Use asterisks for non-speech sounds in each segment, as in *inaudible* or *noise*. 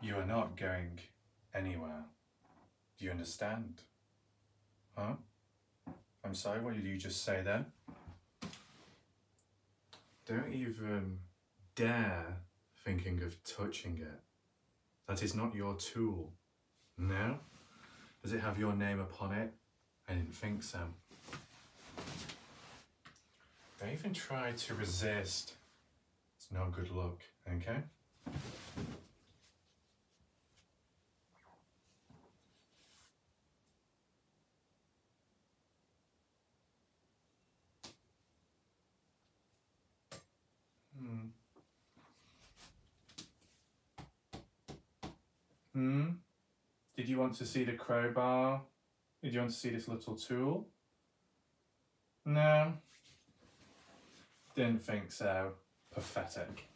You are not going anywhere. Do you understand? Huh? I'm sorry, what did you just say then? Don't even dare thinking of touching it. That is not your tool. No? Does it have your name upon it? I didn't think so. They even try to resist. It's no good luck, okay? Hmm. Hmm. Did you want to see the crowbar? Did you want to see this little tool? No. Didn't think so. Pathetic.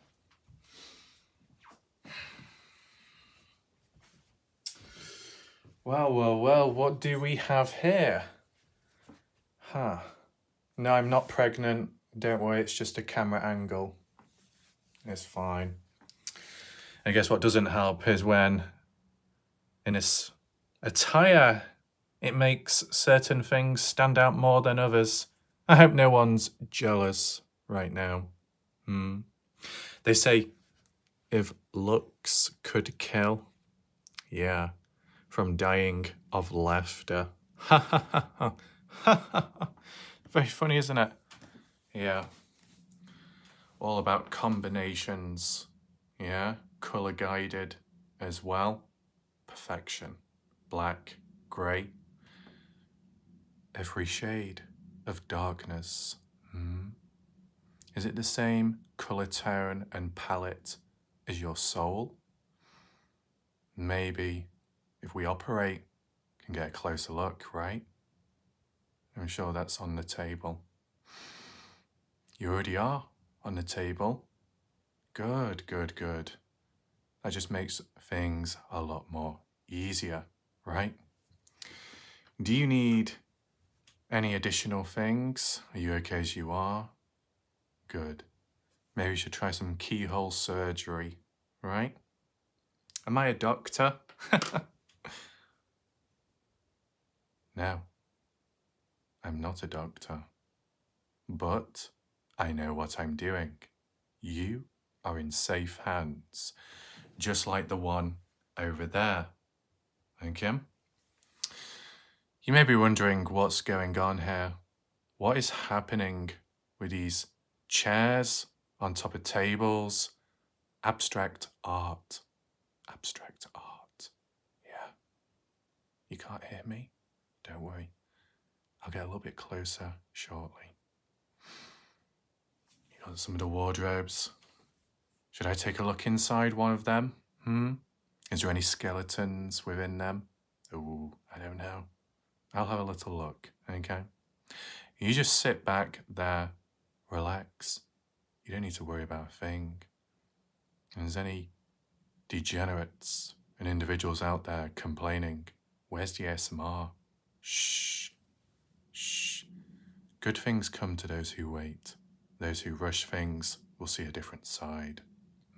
Well, well, well, what do we have here? Huh. No, I'm not pregnant. Don't worry, it's just a camera angle. It's fine. I guess what doesn't help is when in this attire, it makes certain things stand out more than others. I hope no one's jealous right now. Hmm. They say if looks could kill, yeah, from dying of laughter. Ha ha ha ha. Ha ha Very funny, isn't it? Yeah. All about combinations. Yeah. Colour guided as well. Perfection. Black, grey. Every shade of darkness. Hmm. Is it the same colour tone and palette as your soul? Maybe if we operate, can get a closer look, right? I'm sure that's on the table. You already are on the table. Good, good, good. That just makes things a lot more easier, right? Do you need any additional things? Are you okay as you are? Good. Maybe we should try some keyhole surgery, right? Am I a doctor? *laughs* no, I'm not a doctor. But I know what I'm doing. You are in safe hands, just like the one over there. Thank you. You may be wondering what's going on here. What is happening with these chairs on top of tables? Abstract art. Abstract art. Yeah. You can't hear me? Don't worry. I'll get a little bit closer shortly. You got some of the wardrobes. Should I take a look inside one of them? Hmm? Is there any skeletons within them? Oh, I don't know. I'll have a little look, okay? You just sit back there, relax. You don't need to worry about a thing. And there's any degenerates and individuals out there complaining, where's the ASMR? Shh, shh. Good things come to those who wait. Those who rush things will see a different side.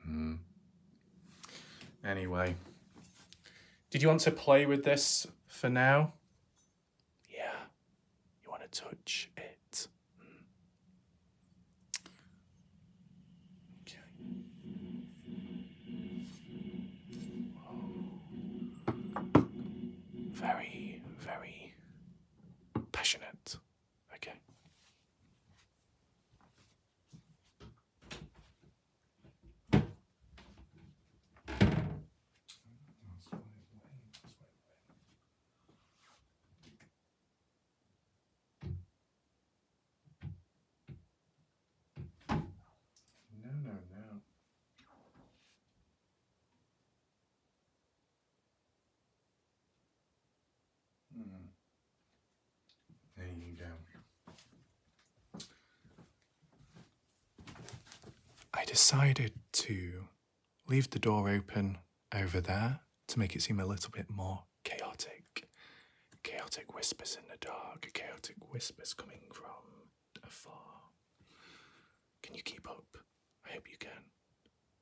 Hmm. Anyway, did you want to play with this for now? Yeah, you want to touch it. Hmm. Okay. Very, very passionate. Okay. No, no, no. Mm. There you go. I decided to leave the door open over there to make it seem a little bit more chaotic. Chaotic whispers in the dark, chaotic whispers coming from afar. Can you keep up? I hope you can.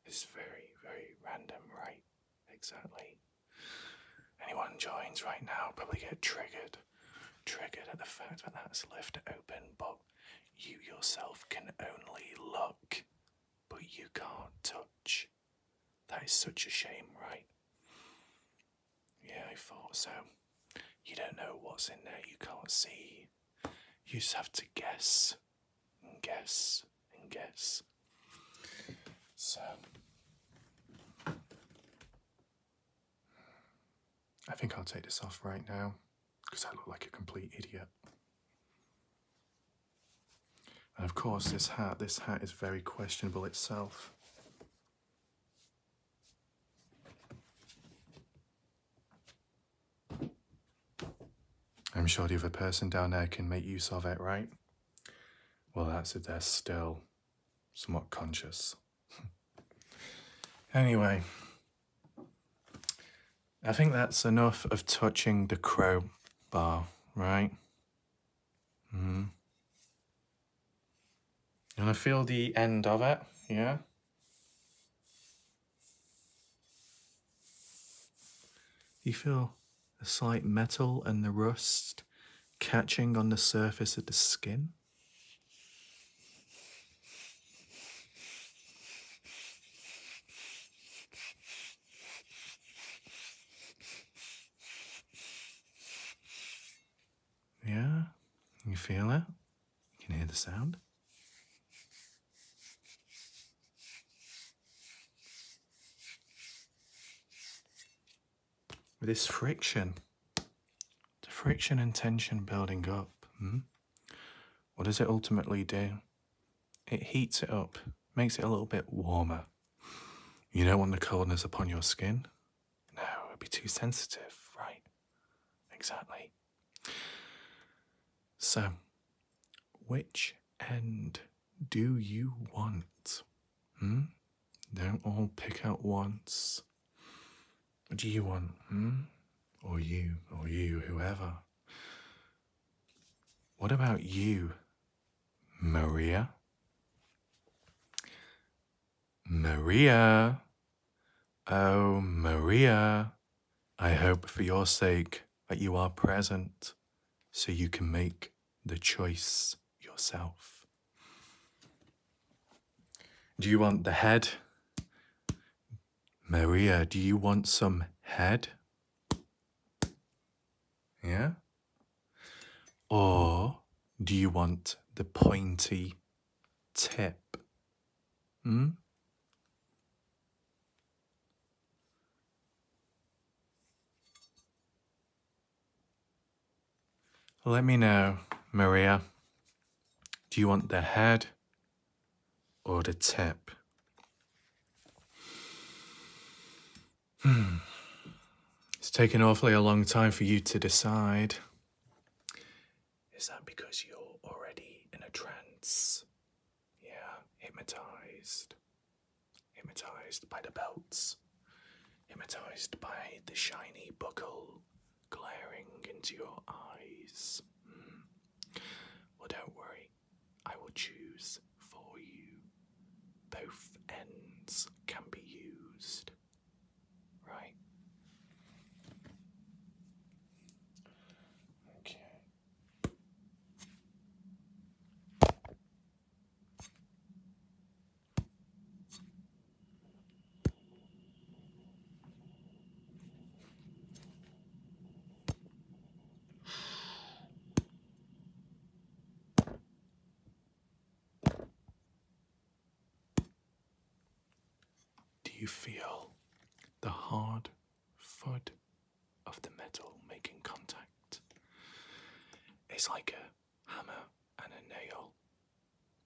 It's very, very random, right? Exactly. Anyone joins right now probably get triggered. Triggered at the fact that that's left open, but you yourself can only look, but you can't touch. That is such a shame, right? Yeah, I thought so. You don't know what's in there, you can't see. You just have to guess and guess and guess. So, I think I'll take this off right now because I look like a complete idiot. And of course, this hat, this hat is very questionable itself. I'm sure the other person down there can make use of it, right? Well, that's if they're still somewhat conscious. *laughs* anyway, I think that's enough of touching the crowbar, right? Mm hmm. You want to feel the end of it, yeah? You feel the slight metal and the rust catching on the surface of the skin. Yeah, you feel it? You can hear the sound. This friction, the friction and tension building up, hmm? what does it ultimately do? It heats it up, makes it a little bit warmer. You don't want the coldness upon your skin? No, it'd be too sensitive, right? Exactly. So, which end do you want? Hmm? Don't all pick out once. What do you want? Hmm? Or you, or you, whoever. What about you, Maria? Maria, Oh, Maria, I hope for your sake that you are present so you can make the choice yourself. Do you want the head? Maria, do you want some head? Yeah? Or do you want the pointy tip? Hmm? Let me know, Maria. Do you want the head or the tip? Hmm. It's taken awfully a long time for you to decide. Is that because you're already in a trance? Yeah, hypnotized. Hypnotized by the belts. Hypnotized by the shiny buckle glaring into your eyes. Hmm. Well, don't worry. I will choose for you. Both ends can be used. Right? Okay. Do you feel the hard thud of the metal making contact. It's like a hammer and a nail.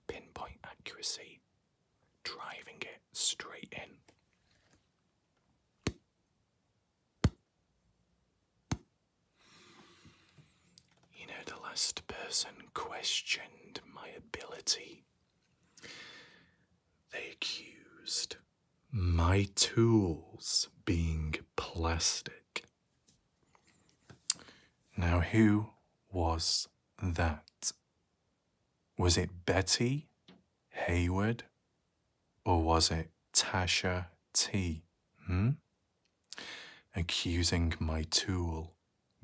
Pinpoint accuracy, driving it straight in. You know, the last person questioned my ability. They accused my tools being plastic. Now, who was that? Was it Betty Hayward or was it Tasha T? Hmm? Accusing my tool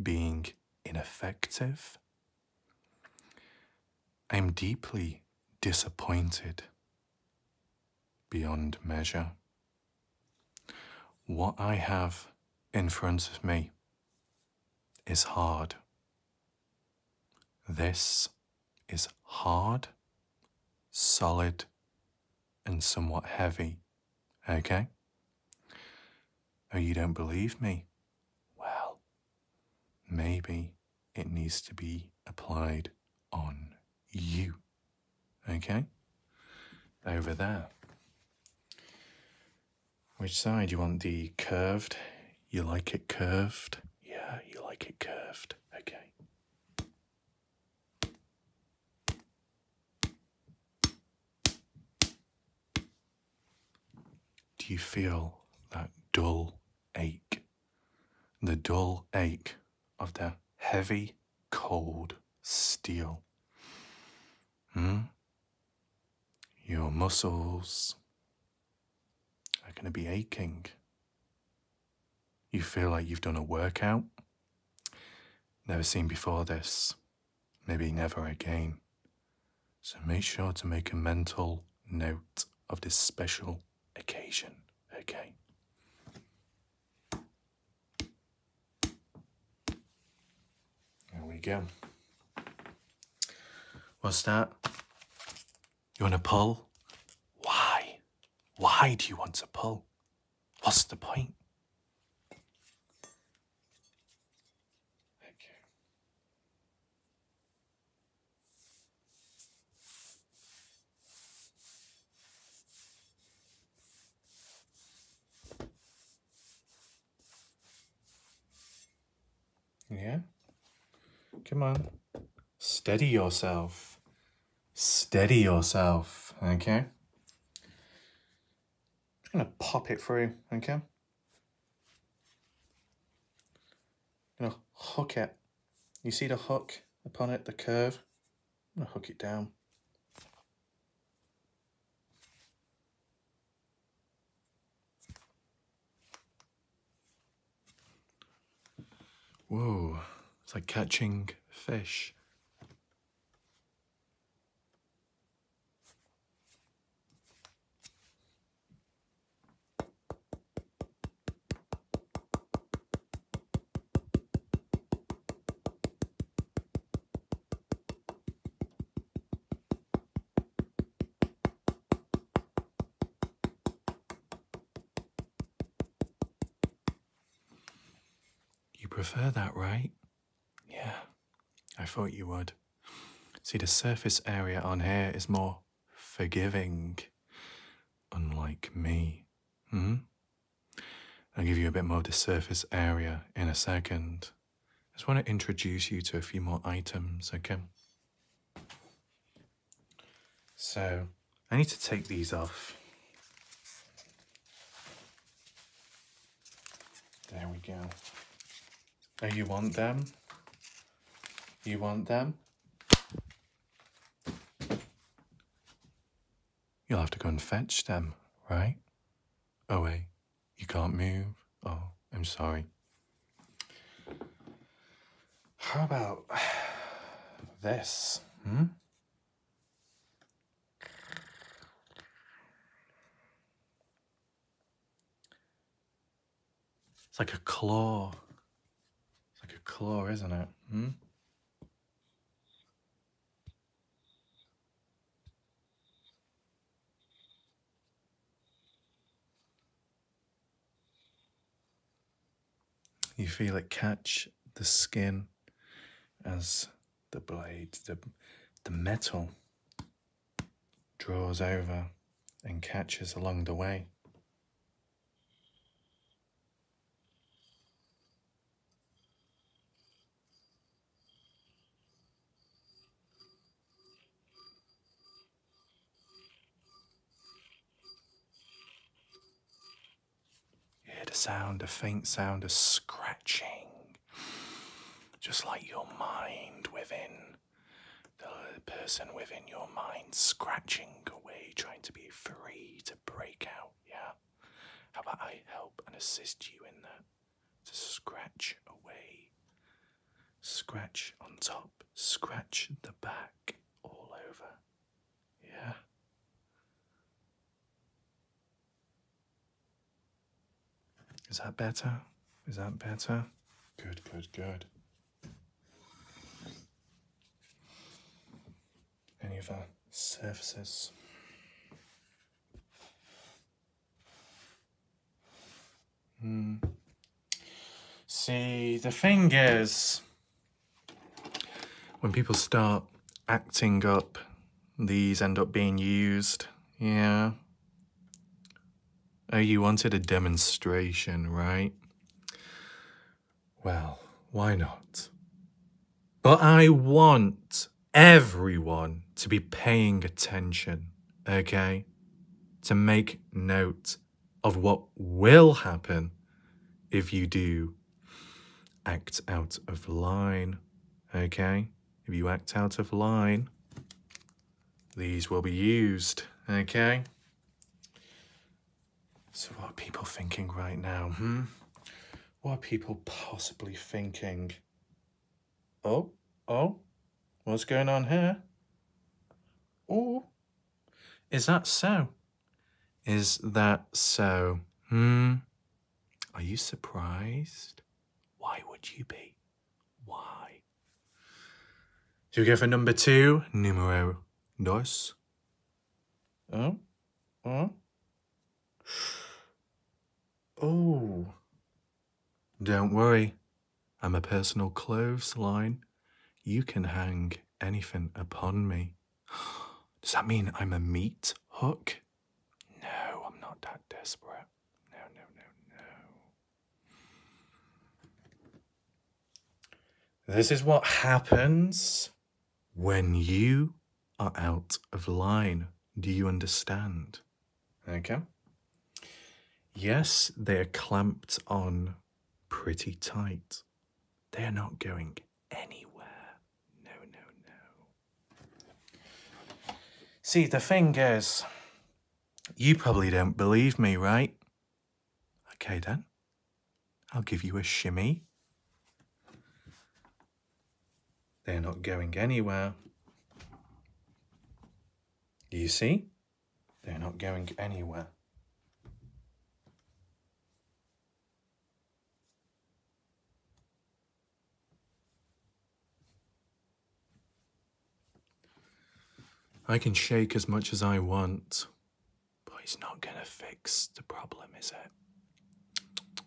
being ineffective I'm deeply disappointed beyond measure. What I have in front of me is hard. This is hard, solid, and somewhat heavy. Okay? Oh, you don't believe me? Well, Maybe it needs to be applied on you. Okay? Over there. Which side? You want the curved? You like it curved? Yeah, you like it curved. Okay. Do you feel that dull ache? The dull ache of the heavy, cold steel. Hmm? Your muscles are going to be aching. You feel like you've done a workout. Never seen before this. Maybe never again. So make sure to make a mental note of this special occasion, okay? There we go. What's that? You want to pull? Why? Why do you want to pull? What's the point? Okay. Yeah. Come on. Steady yourself. Steady yourself, okay? I'm going to pop it through, okay? I'm going to hook it. You see the hook upon it, the curve? I'm going to hook it down. Whoa, it's like catching fish. You prefer that, right? Yeah, I thought you would. See, the surface area on here is more forgiving, unlike me. Hmm? I'll give you a bit more of the surface area in a second. I just want to introduce you to a few more items, okay? So, I need to take these off. There we go. Oh, you want them? You want them? You'll have to go and fetch them, right? Oh, wait, you can't move. Oh, I'm sorry. How about this? Hmm? It's like a claw. It's like a claw, isn't it? Hmm? You feel it catch the skin as the blade, the, the metal draws over and catches along the way. hear the sound, a faint sound of scratching, just like your mind within the person within your mind scratching away, trying to be free to break out. Yeah? How about I help and assist you in that? To scratch away. Scratch on top, scratch the back, all over. Yeah? Is that better? Is that better? Good, good, good. Any of our surfaces? Hmm. See, the thing is, when people start acting up, these end up being used. Yeah, Oh, you wanted a demonstration, right? Well, why not? But I want everyone to be paying attention, okay? To make note of what will happen if you do act out of line, okay? If you act out of line, these will be used, okay? So what are people thinking right now, hmm? What are people possibly thinking? Oh, oh, what's going on here? Oh, is that so? Is that so? Hmm? Are you surprised? Why would you be? Why? You go for number two, numero dos. Oh, oh, oh. Don't worry, I'm a personal clothesline. You can hang anything upon me. *gasps* Does that mean I'm a meat hook? No, I'm not that desperate. No, no, no, no. This is what happens when you are out of line. Do you understand? Okay. Yes, they are clamped on pretty tight. They are not going anywhere. No, no, no. See, the thing is, you probably don't believe me, right? Okay then, I'll give you a shimmy. They're not going anywhere. You see? They're not going anywhere. I can shake as much as I want, but it's not going to fix the problem, is it?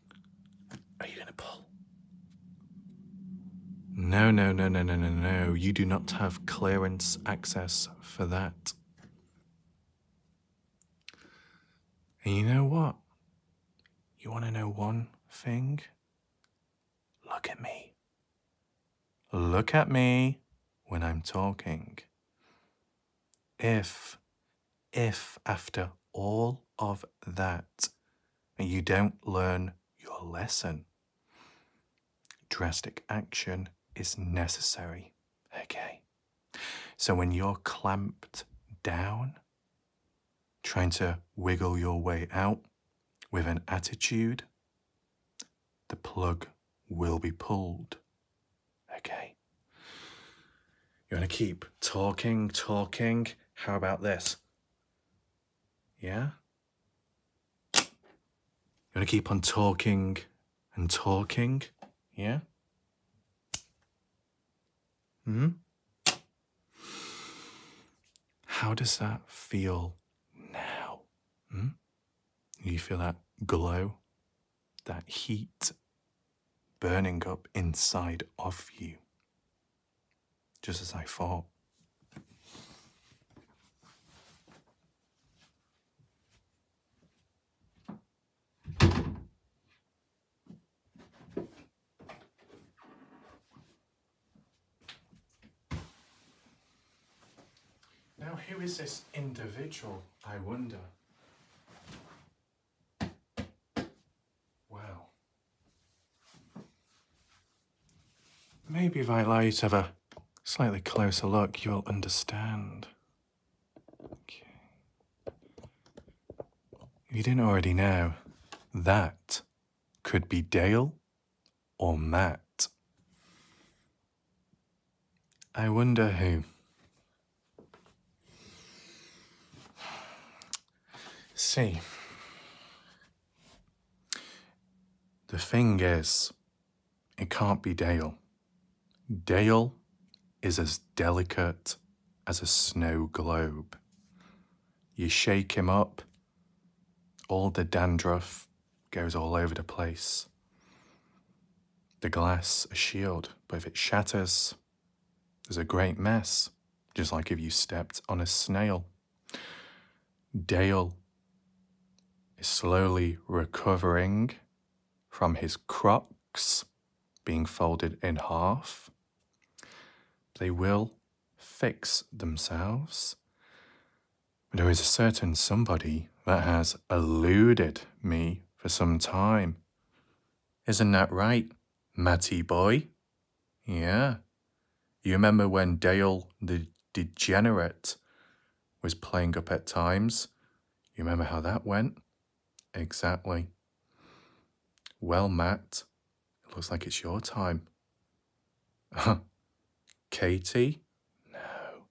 Are you going to pull? No, no, no, no, no, no, no. You do not have clearance access for that. And you know what? You want to know one thing? Look at me. Look at me when I'm talking. If, if after all of that, you don't learn your lesson, drastic action is necessary. Okay. So when you're clamped down, trying to wiggle your way out, with an attitude, the plug will be pulled. Okay. You want to keep talking, talking. How about this? Yeah? You want to keep on talking and talking? Yeah? hmm? How does that feel now? Hmm? You feel that glow, that heat burning up inside of you, just as I thought. Now, who is this individual, I wonder? Well, maybe if I allow you to have a slightly closer look, you'll understand. If you didn't already know, that could be Dale or Matt? I wonder who. See, the thing is, it can't be Dale. Dale is as delicate as a snow globe. You shake him up, all the dandruff goes all over the place. The glass, a shield, but if it shatters, there's a great mess, just like if you stepped on a snail. Dale is slowly recovering from his crocs being folded in half. They will fix themselves. There is a certain somebody that has eluded me for some time. Isn't that right, Matty boy? Yeah. You remember when Dale the Degenerate was playing up at times? You remember how that went? Exactly. Well, Matt, it looks like it's your time. *laughs* Katie? No.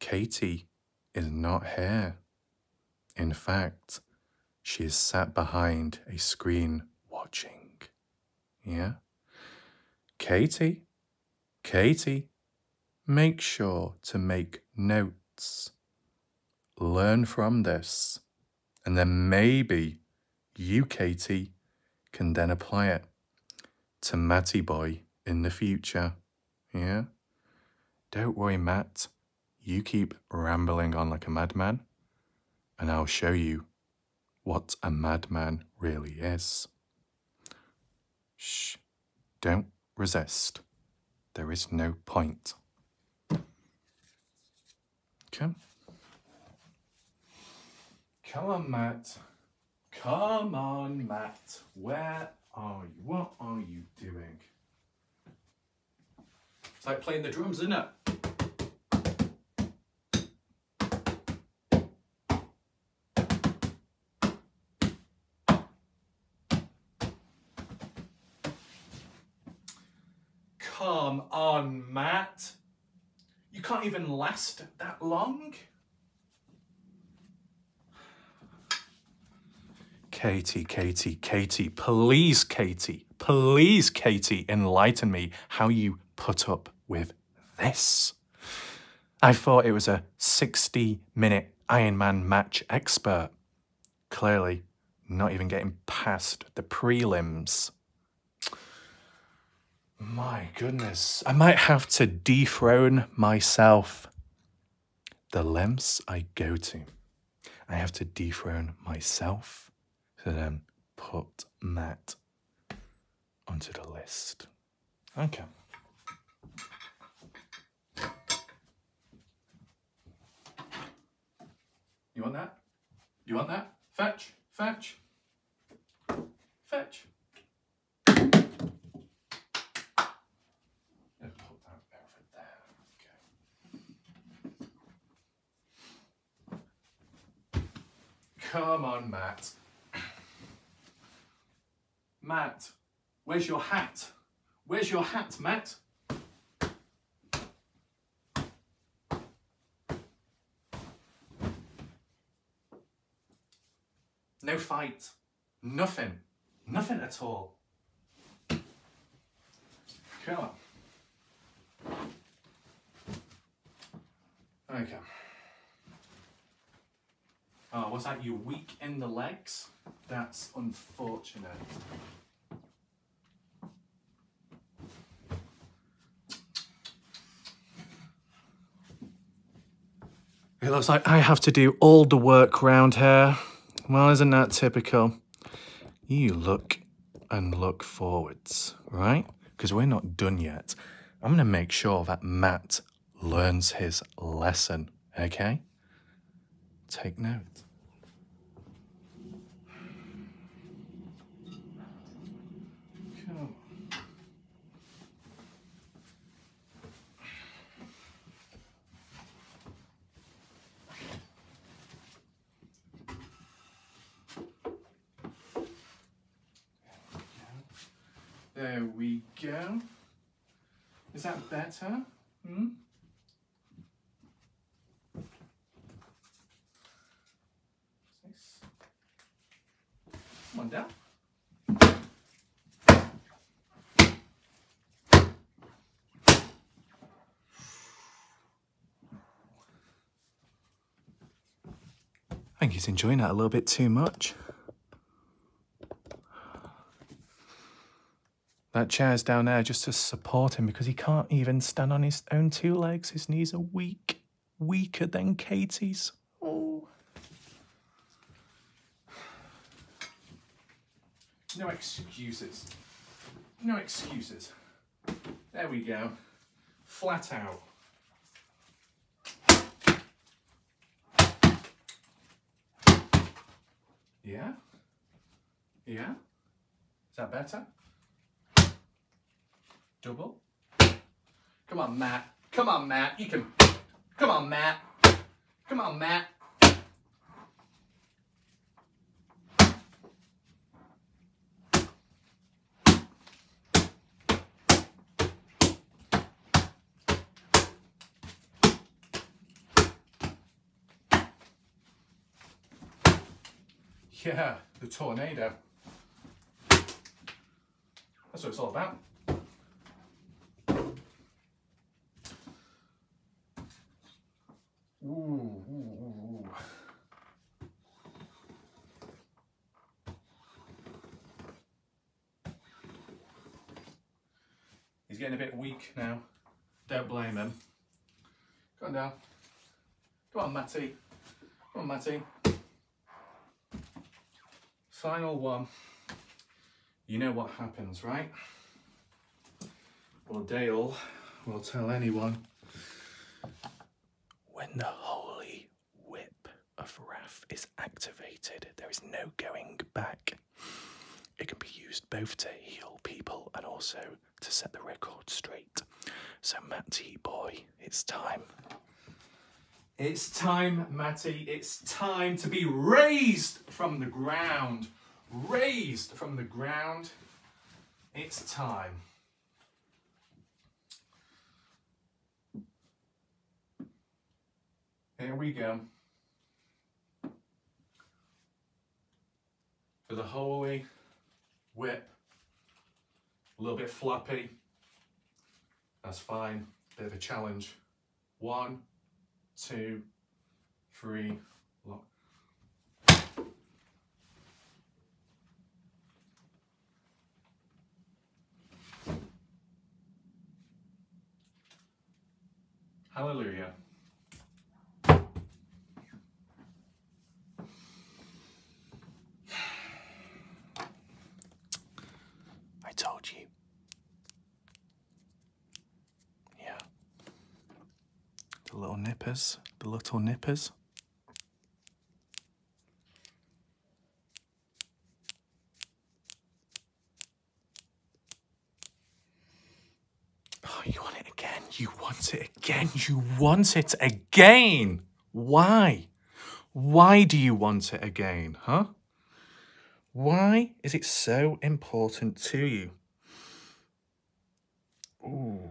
Katie is not here. In fact, she is sat behind a screen watching. Yeah? Katie? Katie? Make sure to make notes. Learn from this and then maybe you, Katie, can then apply it to Matty Boy in the future. Yeah? Don't worry, Matt. You keep rambling on like a madman, and I'll show you what a madman really is. Shh, don't resist. There is no point. Come, Come on, Matt. Come on, Matt. Where are you? What are you doing? It's like playing the drums, isn't it? Come on, Matt. You can't even last that long. Katie, Katie, Katie, please, Katie, please, Katie, enlighten me how you put up with this. I thought it was a 60 minute Iron Man match expert. Clearly, not even getting past the prelims. My goodness. I might have to dethrone myself. The lengths I go to. I have to dethrone myself to then put that onto the list. Okay. You want that? You want that? Fetch, fetch, fetch. Come on, Matt. Matt, where's your hat? Where's your hat, Matt? No fight. Nothing. Nothing at all. Come on. Okay. Oh, was that? you weak in the legs? That's unfortunate. It looks like I have to do all the work round here. Well, isn't that typical? You look and look forwards, right? Because we're not done yet. I'm going to make sure that Matt learns his lesson, okay? Take note. Come. There we go. Is that better? Hmm? Nice. One down. I think he's enjoying that a little bit too much. That chair's down there just to support him because he can't even stand on his own two legs. His knees are weak weaker than Katie's. Oh. No excuses. No excuses. There we go. Flat out. Yeah? Yeah? Is that better? Double. Come on, Matt. Come on, Matt. You can. Come on, Matt. Come on, Matt. Yeah, the tornado. That's what it's all about. Ooh, He's getting a bit weak now. Don't blame him. Come on down. Come on, Matty. Come on, Matty. Final one. You know what happens, right? Well, Dale will tell anyone when the holy whip of wrath is activated, there is no going back. It can be used both to heal people and also to set the record straight. So, Matty boy, it's time. It's time, Matty. It's time to be raised from the ground. Raised from the ground. It's time. Here we go for the holy whip. A little bit floppy. That's fine. Bit of a challenge. One, two, three, lock. Hallelujah. *sighs* I told you. Yeah. The little nippers, the little nippers. Oh, you want it again? You want it again? You want it again? again. Why? Why do you want it again, huh? Why is it so important to you? Ooh.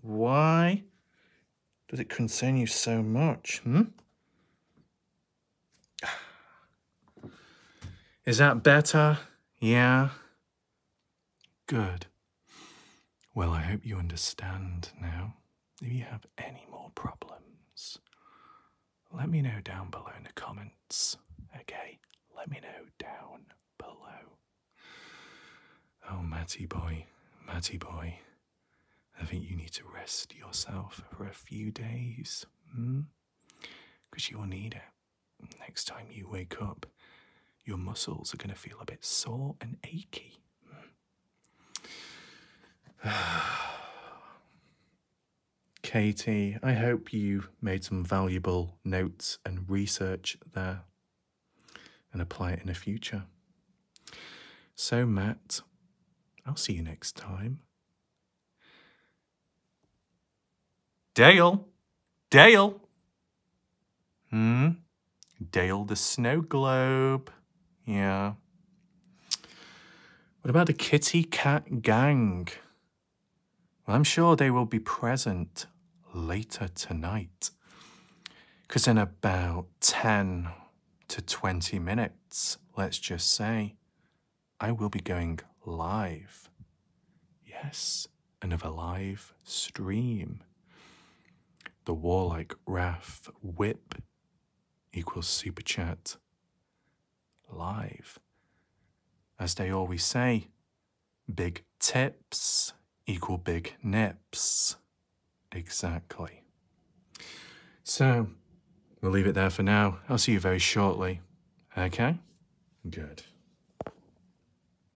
Why does it concern you so much, hmm? *sighs* Is that better? Yeah. Good. Well, I hope you understand now. If you have any more problems, let me know down below in the comments. Okay? Let me know down below. Oh, Matty boy, Matty boy, I think you need to rest yourself for a few days, hmm? Because you will need it. Next time you wake up, your muscles are going to feel a bit sore and achy. *sighs* Katie, I hope you made some valuable notes and research there and apply it in the future. So, Matt, I'll see you next time. Dale! Dale! Hmm? Dale the Snow Globe. Yeah. What about the Kitty Cat Gang? Well, I'm sure they will be present later tonight. Because in about 10 to 20 minutes, let's just say, I will be going live. Yes, and of a live stream. The warlike Wrath Whip equals Super Chat live. As they always say, big tips equal big nips. Exactly. So, we'll leave it there for now. I'll see you very shortly. Okay? Good.